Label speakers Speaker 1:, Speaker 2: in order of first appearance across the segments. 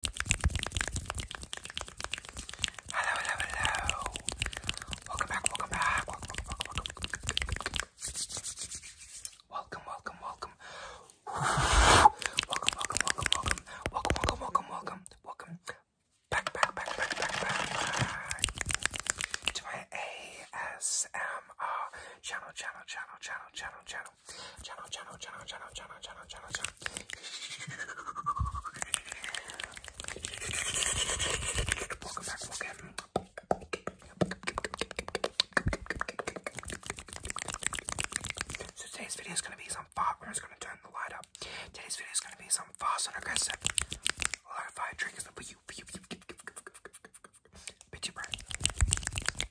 Speaker 1: Hello, hello, hello. Welcome back, welcome back. Welcome, welcome, welcome, welcome. Welcome, welcome, welcome. Welcome, welcome, welcome, welcome. Welcome, welcome, welcome, welcome. Welcome back, back, back, back, back, back. To my ASMR channel, channel, channel, channel, channel, channel. Welcome
Speaker 2: back, welcome. So today's video is gonna be some fun. We're just gonna turn the light up. Today's
Speaker 1: video is gonna be some fast and aggressive. A lot of fire triggers for you,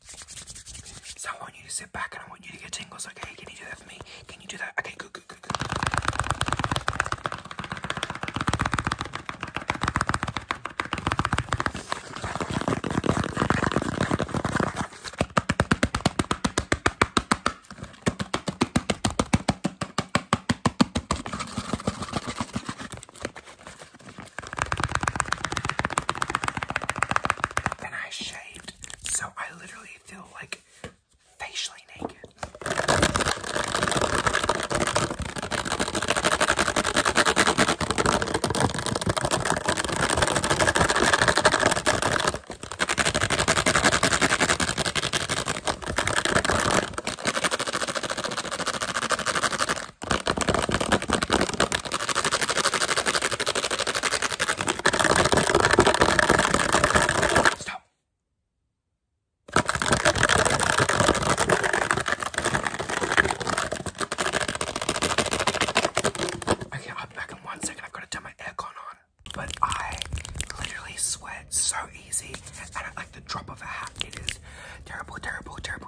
Speaker 1: so I want you to sit back and I want you to get tingles, okay? Can you do that for me? Can you do that? Okay, good, good, good, good. Then I shaved so I literally feel like facially naked. Stop. Okay, I'll back in one second. I've got to turn my aircon on. But I literally sweat so easy, and like the drop of a hat, it is terrible, terrible, terrible.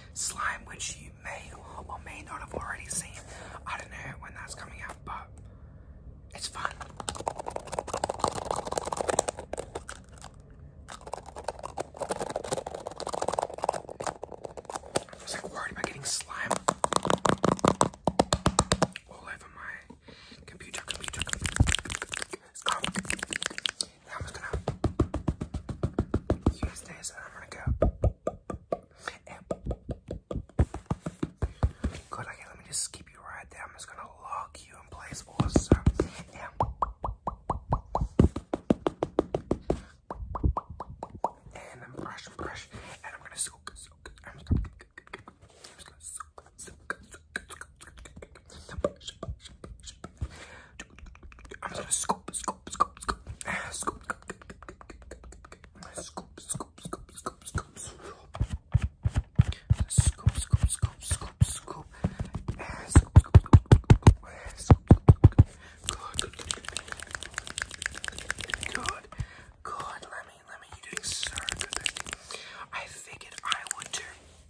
Speaker 1: slime, which you may or may not have already seen. I don't know when that's coming out, but it's fun. I was like getting slime all over my computer, I'm just gonna use this and I'm gonna go. Good, okay, let me just keep you right there. I'm just gonna lock you in place also.
Speaker 2: And i brush brush. And I'm gonna soak, soak I'm just gonna scoop, scoop, scoop, scoop, scoop, scoop, scoop, scoop, scoop, scoop, scoop, scoop, scoop, scoop, scoop, scoop, Good, good, good. Let me, let me. You're doing so good. I figured I would do.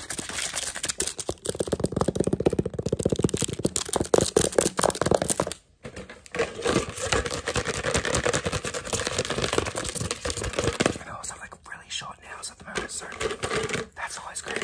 Speaker 2: I know, so I'm like really short nails at the moment, so that's always great.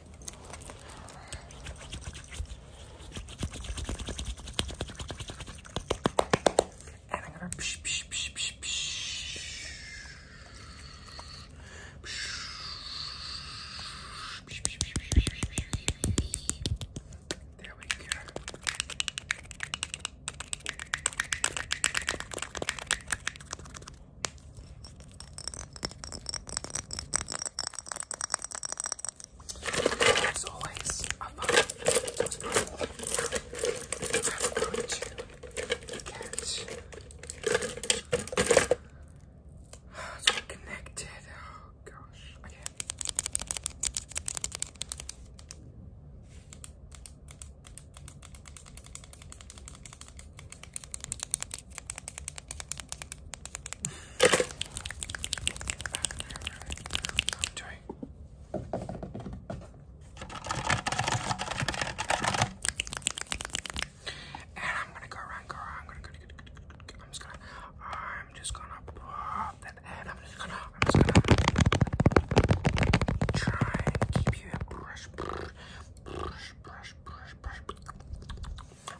Speaker 1: And I'm gonna psh, psh, psh, psh, psh. There we go. As always, I those I'm going to get so connected. Oh gosh, I can't.
Speaker 2: And I'm gonna go around, go around, I'm gonna go, I'm just gonna, I'm just gonna pop that, and I'm just gonna, I'm just gonna try and keep you a brush, brush, brush, brush, brush, brush, brush,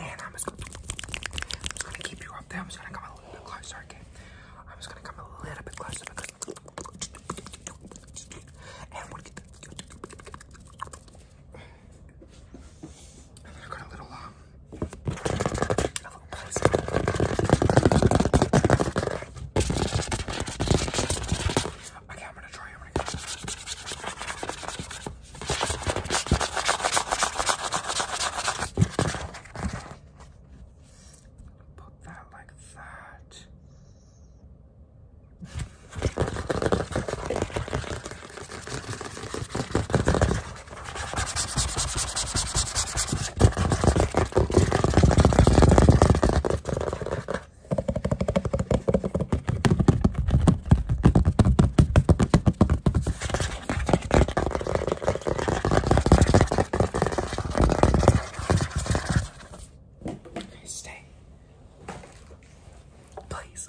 Speaker 1: and I'm just gonna keep you up there. I'm just gonna come a little bit closer, okay? I'm just gonna come a little bit closer because and we'll get the and a little um Okay, I'm gonna try. I'm gonna put that like that. Stay. Please.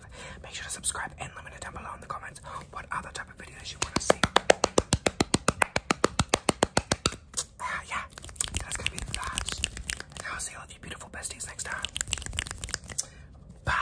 Speaker 1: make sure to subscribe and let me know down below in the comments what other type of videos you want to see. Ah, yeah, that's gonna be that. And I'll see all you beautiful besties next time.
Speaker 2: Bye.